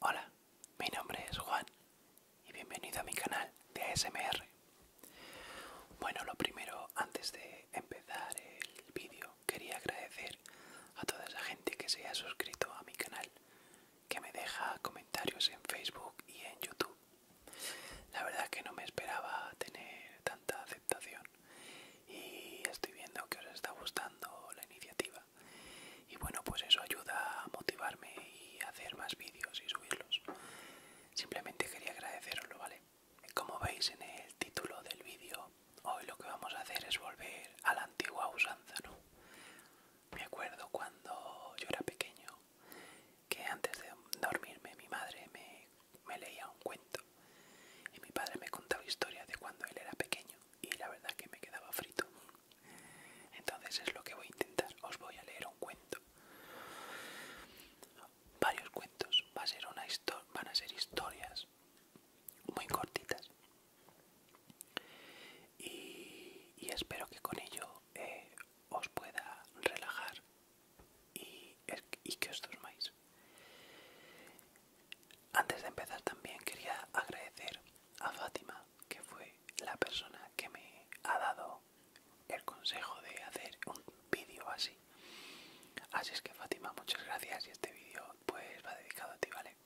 Hola, mi nombre es Juan y bienvenido a mi canal de ASMR. Bueno, lo primero, antes de empezar el vídeo, quería agradecer a toda esa gente que se ha suscrito a mi canal, que me deja comentarios en Facebook y en YouTube. La verdad que no me esperaba tener tanta aceptación y estoy viendo que os está gustando la iniciativa y bueno, pues eso ayuda a motivarme y a hacer más vídeos y subirlos. Simplemente quería agradeceroslo, ¿vale? Como veis en el título del vídeo, hoy lo que vamos a hacer es volver a la antigua usanza, ¿no? Me acuerdo cuando yo era pequeño que antes de dormirme mi madre me, me leía un cuento y mi padre me contaba historias de cuando él era pequeño y la verdad que me quedaba frito. Entonces es lo que voy a intentar. Os voy a leer un cuento. Varios cuentos. Va a ser una van a ser historias muy cortitas. Y, espero que con ello eh, os pueda relajar y, que os durmáis. Antes de empezar también quería agradecer a Fátima, que fue la persona que me ha dado el consejo de hacer un vídeo así. Así es que Fátima, muchas gracias y este vídeo pues va dedicado a ti, ¿vale?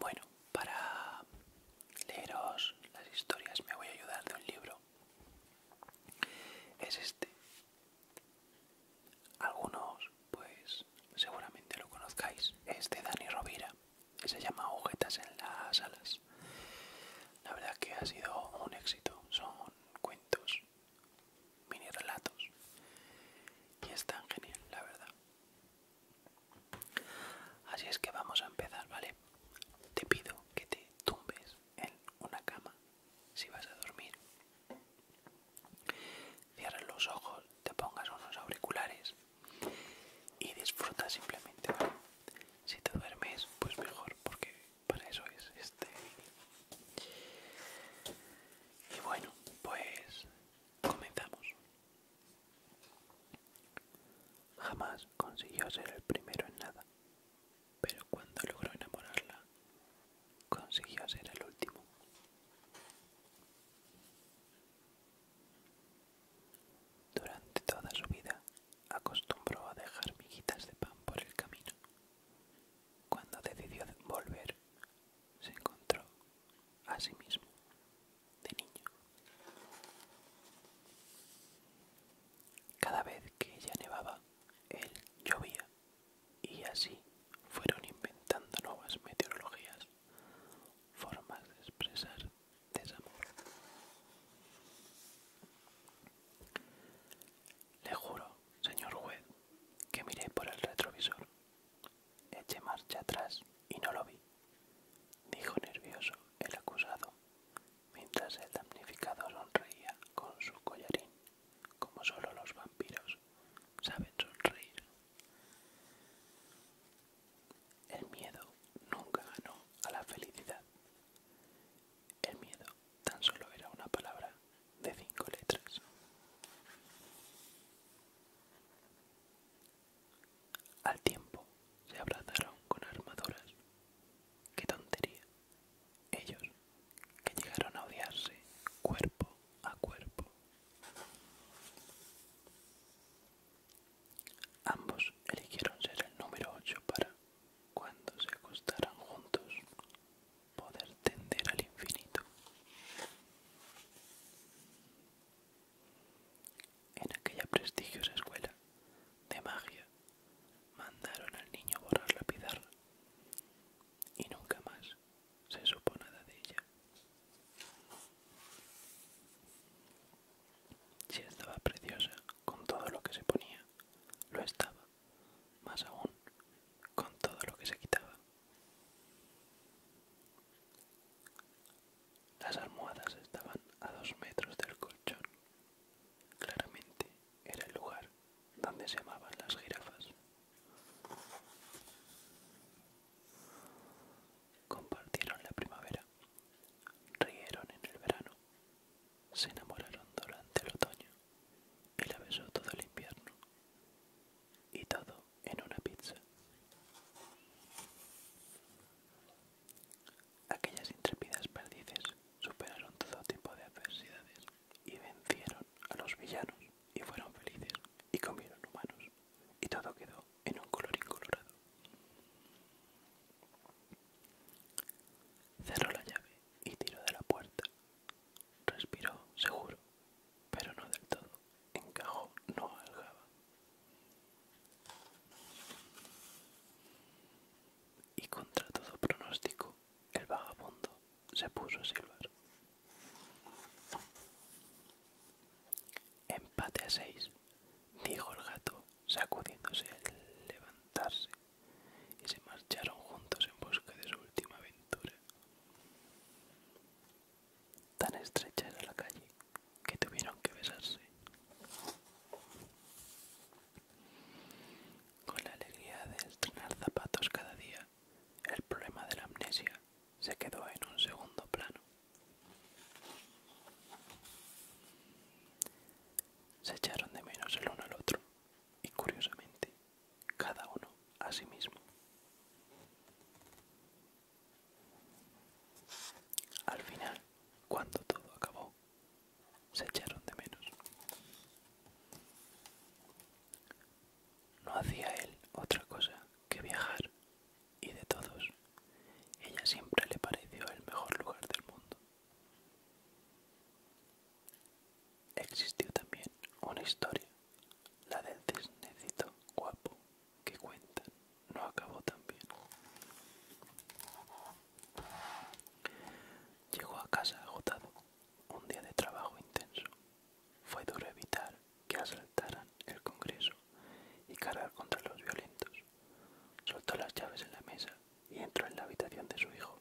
Bueno, para leeros las historias me voy a ayudar de un libro. Es este, algunos, pues, seguramente lo conozcáis. Es de Dani Rovira. se llama Ojetas en las alas. La verdad que ha sido un éxito. Son cuentos, mini relatos. Y es tan genial, la verdad. Así es que vamos a empezar, ¿vale? Te pido que te tumbes en una cama si vas a dormir Cierra los ojos, te pongas unos auriculares y disfruta simplemente, Si te duermes, pues mejor, porque para eso es este. Y bueno, pues comenzamos. Jamás consiguió ser el primero en nada, pero cuando logró enamorarla, consiguió ser el último. Durante toda su vida acostumbró a dejar miguitas de pan por el camino. Cuando decidió volver, se encontró a sí mismo de niño. Cada vez que ella nevaba, él llovía y así fueron inventando nuevas meteorologías, formas de expresar desamor. Le juro, señor juez, que miré por el retrovisor. Eché marcha atrás y no lo vi, dijo nervioso el acusado, mientras el damnificado sonreía con su collarín como solo los vampiros saben sonreír. El miedo nunca ganó a la felicidad. El miedo tan solo era una palabra de cinco letras. Al tiempo se abrazaron con armaduras. ¡Qué tontería! Ellos, que llegaron a odiarse cuerpo a cuerpo. Ambos eligieron ser el número ocho para, cuando se acostaran juntos, poder tender al infinito. En aquella prestigiosa escuela de magia Mandaron al niño a borrar la pizarra y nunca más se supo nada de ella. Si estaba preciosa con todo lo que se ponía, lo estaba, más aún con todo lo que se quitaba. Las almohadas estaban a dos metros del colchón. Claramente era el lugar donde se amaban las jirafas. Compartieron la primavera, rieron en el verano, se enamoraron durante el otoño, y la besó todo el invierno, y todo en una pizza. Aquellas intrépidas perdices superaron todo tipo de adversidades y vencieron a los villanos y fueron felices y comieron humanos y todo quedó en un color incolorado. Cerró la llave y tiró de la puerta. Respiró seguro, pero no del todo. Encajó, no aljaba y contra todo pronóstico, el vagabundo se puso a silbar. Empate a seis, dijo el gato, sacudiéndose al levantarse, y se marcharon juntos en busca de su última aventura. Tan estrecha era la calle que tuvieron que besarse. Con la alegría de estrenar zapatos cada día, el problema de la amnesia se quedó en un segundo plano. Se echaron de menos el uno al otro y curiosamente, cada uno a sí mismo. Al final, cuando todo acabó, se echaron de menos. No hacía él otra cosa que viajar y de todos, ella siempre le pareció el mejor lugar del mundo. Existió también una historia, la del cisnecito guapo que cuenta no acabó tan bien. Llegó a casa agotado. Un día de trabajo intenso. Fue duro evitar que asaltaran el Congreso y cargar contra los violentos. Soltó las llaves en la mesa y entró en la habitación de su hijo.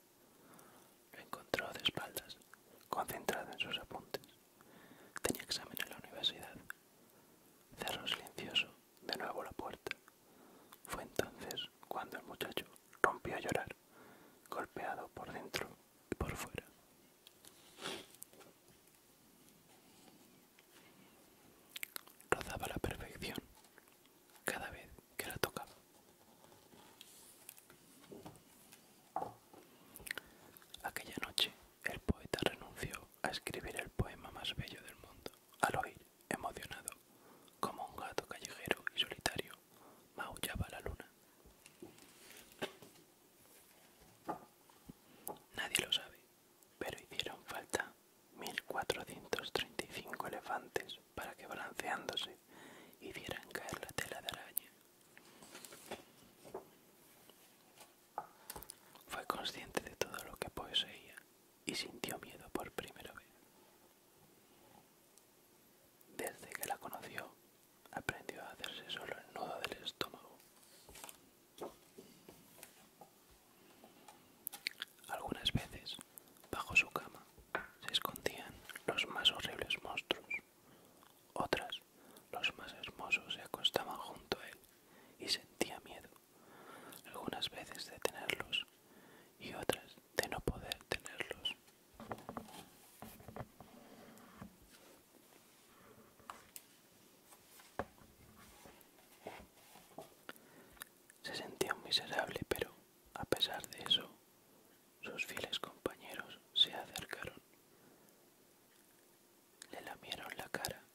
Lo encontró de espaldas, concentrado en sus apuntes. Tenía examen en la universidad. Cerró silencioso de nuevo la puerta fue entonces cuando el muchacho rompió a llorar, golpeado por dentro y por fuera. Rozaba la perfección cada vez que la tocaba. Aquella noche el poeta renunció a escribir el poema más bello del mundo al oír emocionado, como un gato callejero y solitario, maullaba la luna. Nadie lo sabe, pero hicieron falta 1435 elefantes para que balanceándose hicieran caer la tela de araña. Fue consciente de todo lo que poseía y sintió miedo por primera vez. Desde que la conoció, aprendió a hacerse solo el nudo del estómago. Algunas veces, bajo su cama, se escondían los más horribles monstruos. Otras, los más hermosos se acostaban junto a él y sentía miedo algunas veces de tenerlos y otras de no poder tenerlos. Se sentía miserable, pero a pesar de eso, sus fieles compañeros se acercaron, le lamieron la cara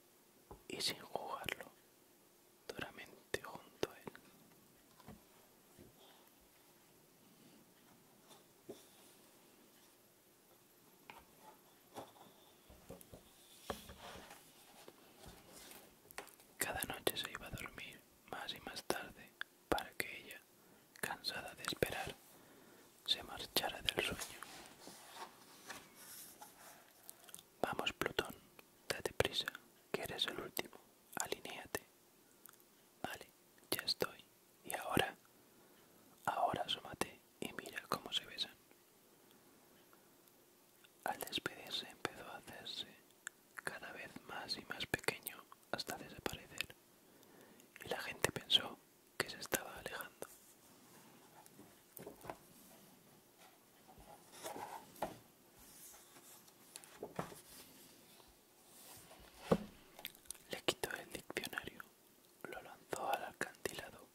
y sin jugarlo duramente junto a él. Cada noche se iba a dormir más y más tarde para que ella, cansada de esperar, se marchara del sueño. Vamos, Plutón, date prisa, que eres el último. Alinéate. Vale, ya estoy. Y ahora, ahora asómate y mira cómo se besan. Al despedirse empezó a hacerse cada vez más y más pequeño hasta desaparecer. Y la gente pensó que se estaba alejando. Le quitó el diccionario, lo lanzó al alcantilado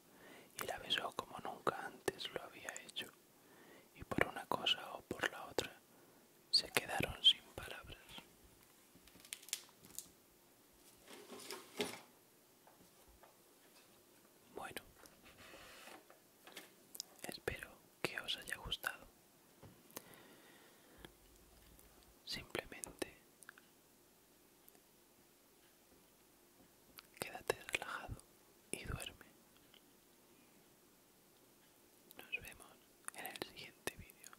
y la besó como nunca antes lo había hecho. Y por una cosa o por la otra se quedaron sin palabras. Bueno, espero que os haya gustado. Simplemente quédate relajado y duerme. Nos vemos en el siguiente vídeo.